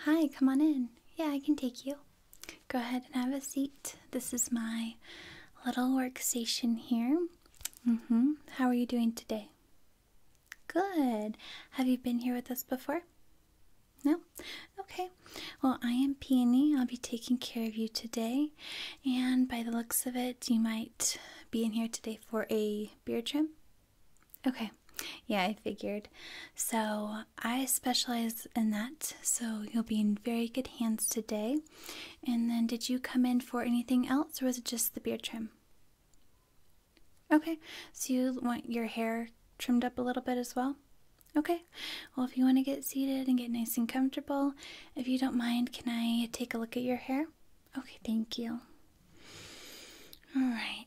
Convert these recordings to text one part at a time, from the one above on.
Hi, come on in. Yeah, I can take you. Go ahead and have a seat. This is my little workstation here. Mm-hmm. How are you doing today? Good. Have you been here with us before? No? Okay. Well, I am Peony. I'll be taking care of you today. And by the looks of it, you might be in here today for a beard trim. Okay. Yeah, I figured. So I specialize in that, so you'll be in very good hands today. And then, did you come in for anything else, or was it just the beard trim? Okay, so you want your hair trimmed up a little bit as well? Okay, well, if you want to get seated and get nice and comfortable, if you don't mind, can I take a look at your hair? Okay, thank you. All right.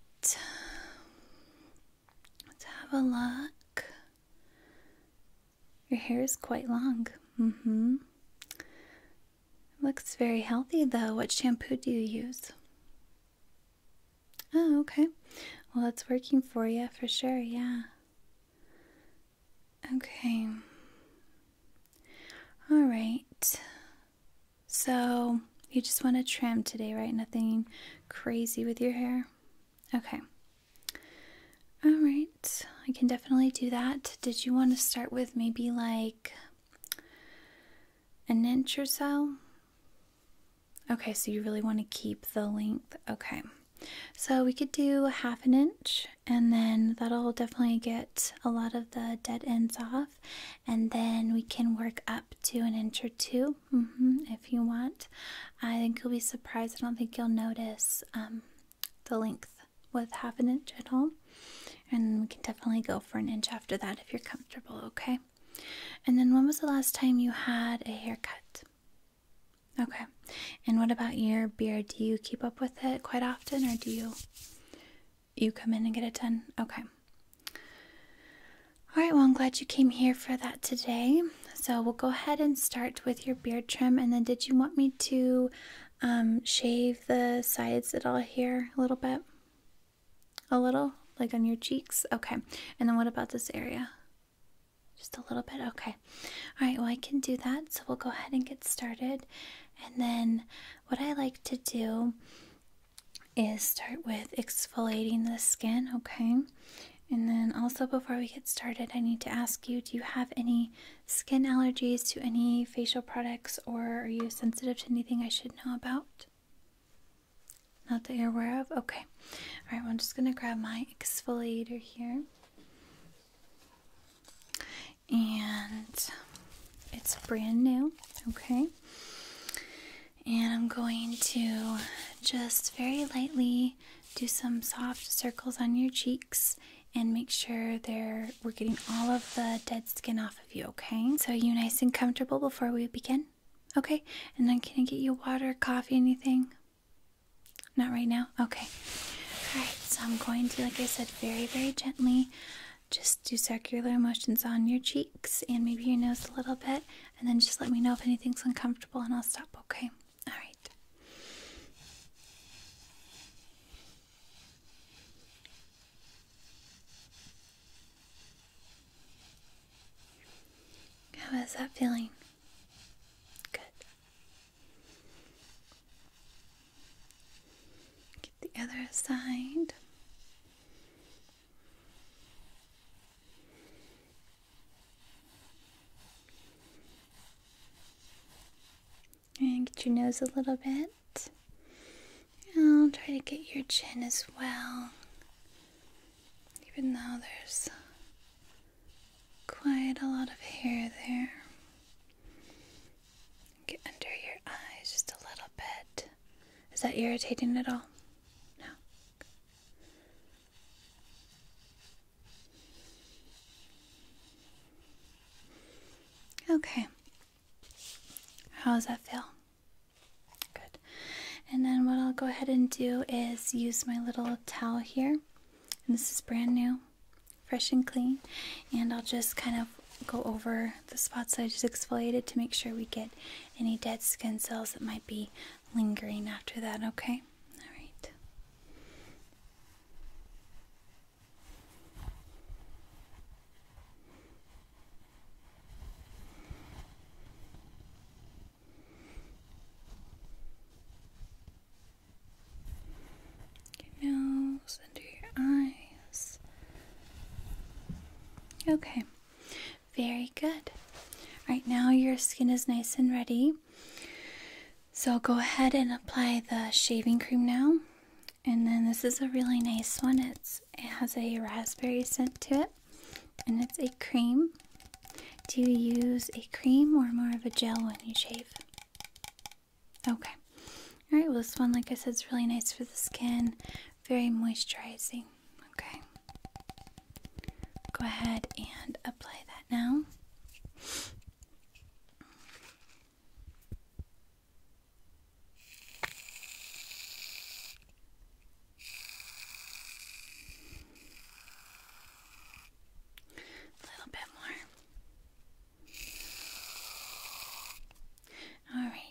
Let's have a look. Your hair is quite long. Mm hmm. Looks very healthy though. What shampoo do you use? Oh, okay. Well, it's working for you for sure, yeah. Okay. All right. So, you just want to trim today, right? Nothing crazy with your hair? Okay. All right. I can definitely do that. Did you want to start with maybe like an inch or so? Okay, so you really want to keep the length. Okay. So we could do half an inch and then that'll definitely get a lot of the dead ends off and then we can work up to an inch or 2 mm-hmm, if you want. I think you'll be surprised. I don't think you'll notice um, the length with half an inch at all, and we can definitely go for an inch after that if you're comfortable. Okay. And then when was the last time you had a haircut? Okay. And what about your beard? Do you keep up with it quite often or do you you come in and get it done, Okay. Alright, well, I'm glad you came here for that today. So we'll go ahead and start with your beard trim. And then, did you want me to um, shave the sides at all here a little bit? A little? Like on your cheeks? Okay. And then, what about this area? Just a little bit? Okay. Alright, well, I can do that. So we'll go ahead and get started. And then, what I like to do is start with exfoliating the skin, okay? And then also, before we get started, I need to ask you do you have any skin allergies to any facial products, or are you sensitive to anything I should know about? Not that you're aware of? Okay. All right, I'm just going to grab my exfoliator here. And it's brand new, okay? And I'm going to just very lightly do some soft circles on your cheeks and make sure they we're getting all of the dead skin off of you, okay? So are you nice and comfortable before we begin? Okay. And then can I get you water, coffee, anything? Not right now? Okay. Alright, so I'm going to, like I said, very, very gently just do circular motions on your cheeks and maybe your nose a little bit, and then just let me know if anything's uncomfortable and I'll stop, okay? All right. How is that feeling? Good. Get the other side. And get your nose a little bit. I'll try to get your chin as well. Even though there's quite a lot of hair there. Get under your eyes just a little bit. Is that irritating at all? No. Okay. How does that feel? Good. And then what I'll go ahead and do is use my little towel here. And this is brand new, fresh and clean. And I'll just kind of go over the spots I just exfoliated to make sure we get any dead skin cells that might be lingering after that, okay? Alright. Get under your eyes. Okay, very good. Right now, your skin is nice and ready. So, go ahead and apply the shaving cream now. And then, this is a really nice one. it has a raspberry scent to it, and it's a cream. Do you use a cream or more of a gel when you shave? Okay. Alright, well, this one, like I said, is really nice for the skin, very moisturizing. Okay. Go ahead and apply that now. A little bit more. All right.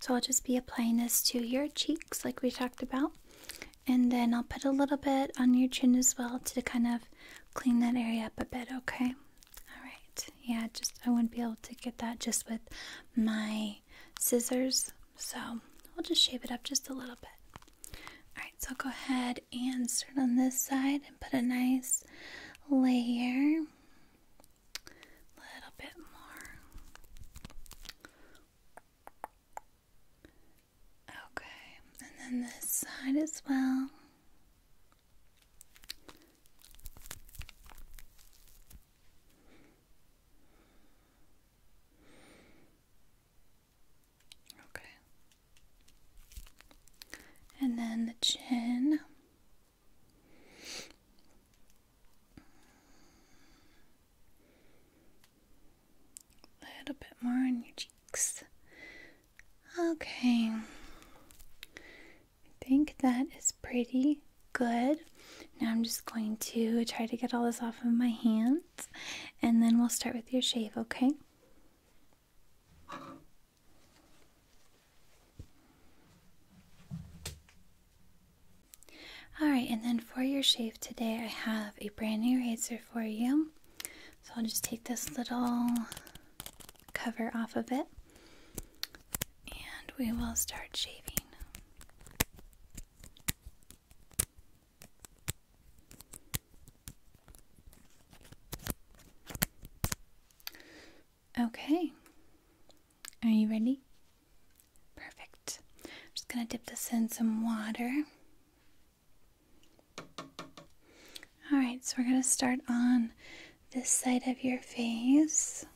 So I'll just be applying this to your cheeks like we talked about. And then I'll put a little bit on your chin as well to kind of clean that area up a bit, okay? Alright, yeah, just I wouldn't be able to get that just with my scissors, so we'll just shape it up just a little bit. Alright, so I'll go ahead and start on this side and put a nice layer. A little bit more. Okay, and then this side as well. Okay. And then the chin. A little bit more on your cheeks. Okay. I think that is pretty good. Now I'm just going to try to get all this off of my hands and then we'll start with your shave, okay? Alright, and then for your shave today, I have a brand new razor for you. So I'll just take this little cover off of it and we will start shaving. Okay, are you ready? Perfect. I'm just going to dip this in some water. All right, so we're going to start on this side of your face.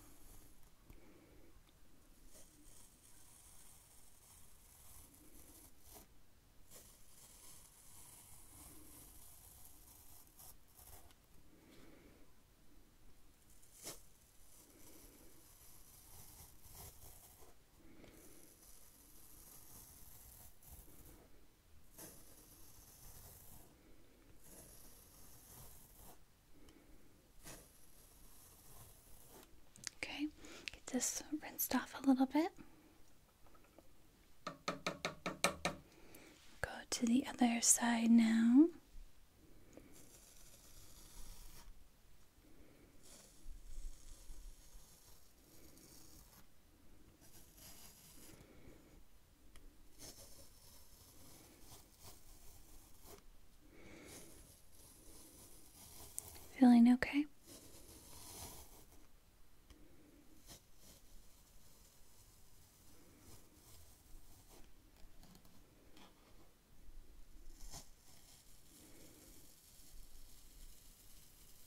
Okay, get this rinsed off a little bit. Go to the other side now. Feeling okay?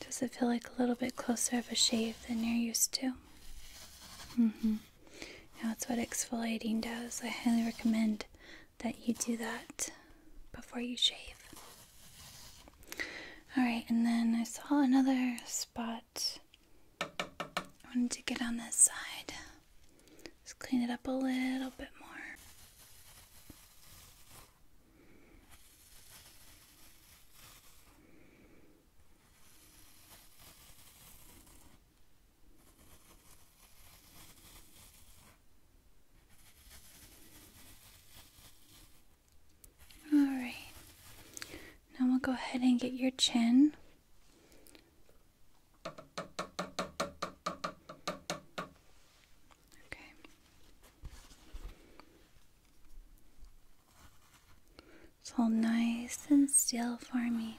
Does it feel like a little bit closer of a shave than you're used to? Mm hmm. Now, that's what exfoliating does. I highly recommend that you do that before you shave. Alright, and then I saw another spot. I wanted to get on this side. Just clean it up a little bit more. Alright, now we'll go ahead and get your chin. Okay. It's all nice and still for me.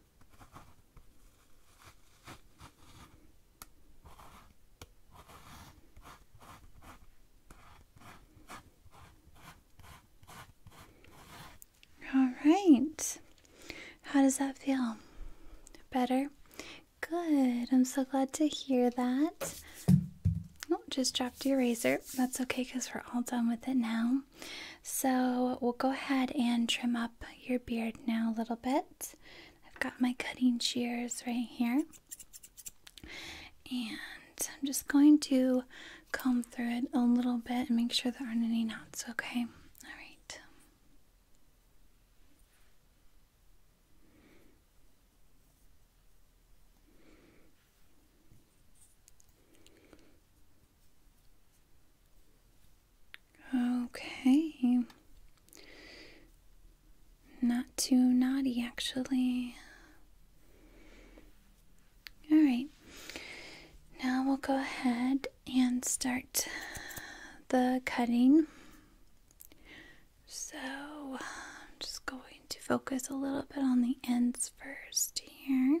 All right. How does that feel? Better? Good. I'm so glad to hear that. Oh, just dropped your razor. That's okay because we're all done with it now. So we'll go ahead and trim up your beard now a little bit. I've got my cutting shears right here. And I'm just going to comb through it a little bit and make sure there aren't any knots, okay? All right. Okay. Not too naughty, actually. Alright. Now we'll go ahead and start the cutting. So I'm just going to focus a little bit on the ends first here.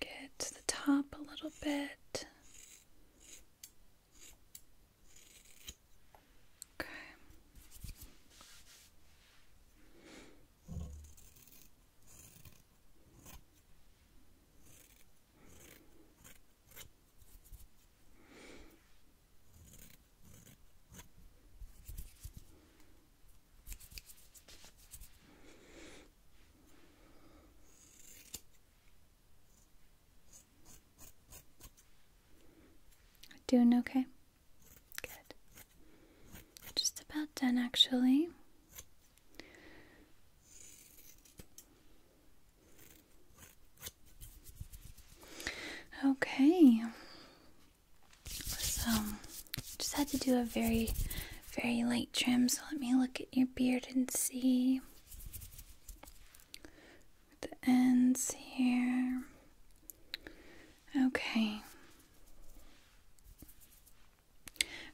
Get the top a little bit. Okay. Doing okay? Good. Just about done, actually. Okay. So, um, just had to do a very, very light trim. So, let me look at your beard and see the ends here. Okay.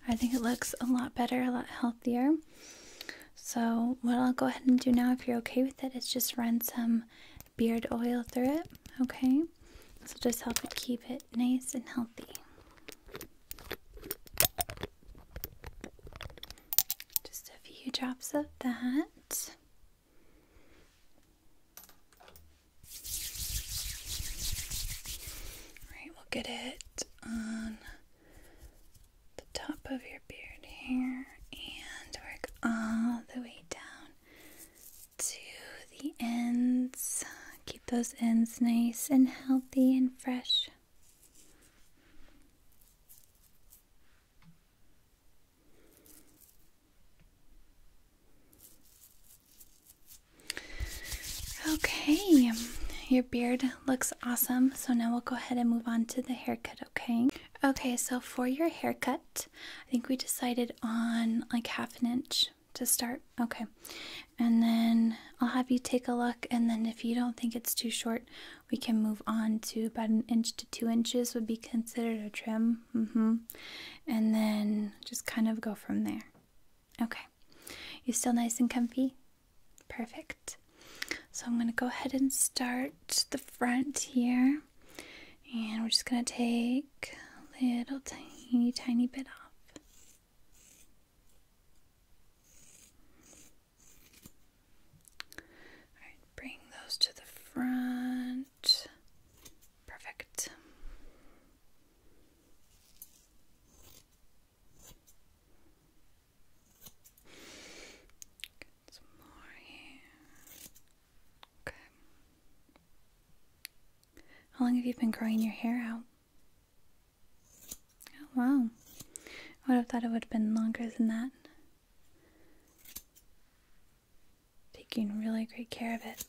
I think it looks a lot better, a lot healthier. So, what I'll go ahead and do now, if you're okay with it, is just run some beard oil through it, okay? So, just help it keep it nice and healthy. Just a few drops of that. Alright, we'll get it on the top of your beard here and work all the way down to the ends. Keep those ends nice and healthy and fresh. Okay, your beard looks awesome. So now we'll go ahead and move on to the haircut, okay? Okay, so for your haircut, I think we decided on like half an inch to start. Okay, and then I'll have you take a look, and then if you don't think it's too short, we can move on to about an inch to two inches, would be considered a trim. Mm hmm. And then just kind of go from there. Okay. You still nice and comfy? Perfect. So I'm going to go ahead and start the front here. And we're just going to take a little tiny, tiny bit off. All right, bring those to the front. Perfect. Get some more here. Okay. How long have you been growing your hair out? Oh wow. I would have thought it would have been longer than that taking really great care of it.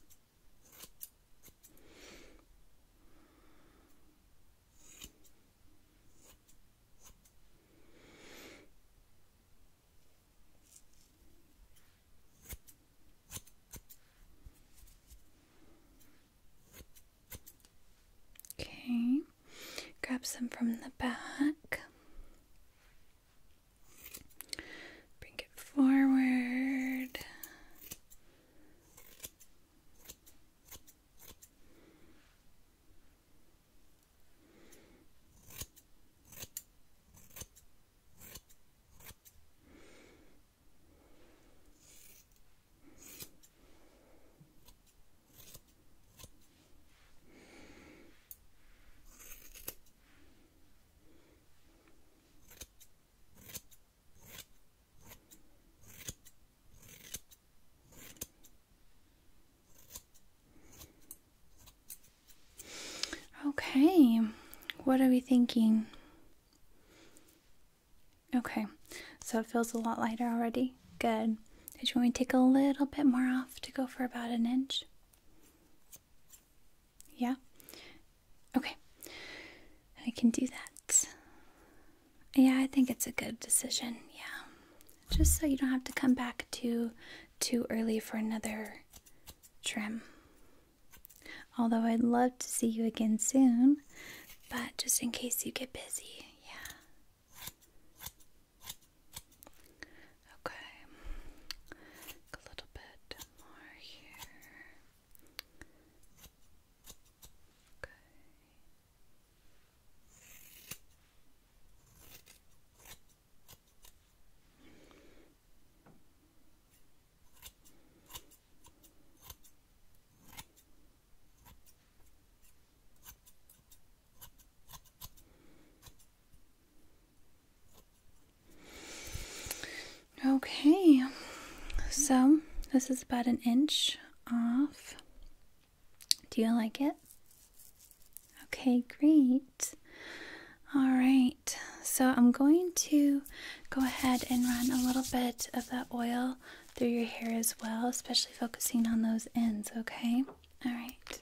Okay, grab some from the back. Bring it forward. Okay, what are we thinking? Okay, so it feels a lot lighter already. Good. Did you want me to take a little bit more off to go for about an inch? Yeah? Okay. I can do that. Yeah, I think it's a good decision. Yeah. Just so you don't have to come back too too early for another trim. Although I'd love to see you again soon, but just in case you get busy. Yeah. Okay. A little bit some more here. Okay. Okay. Okay, so this is about an inch off. Do you like it? Okay, great. All right, so I'm going to go ahead and run a little bit of that oil through your hair as well, especially focusing on those ends, okay? All right.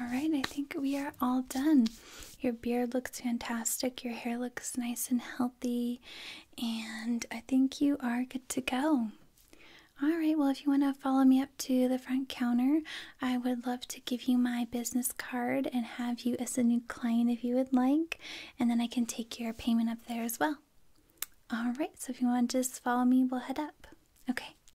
All right, I think we are all done. Your beard looks fantastic, your hair looks nice and healthy, and I think you are good to go. All right, well, if you want to follow me up to the front counter, I would love to give you my business card and have you as a new client if you would like, and then I can take your payment up there as well. All right, so if you want to just follow me, we'll head up. Okay,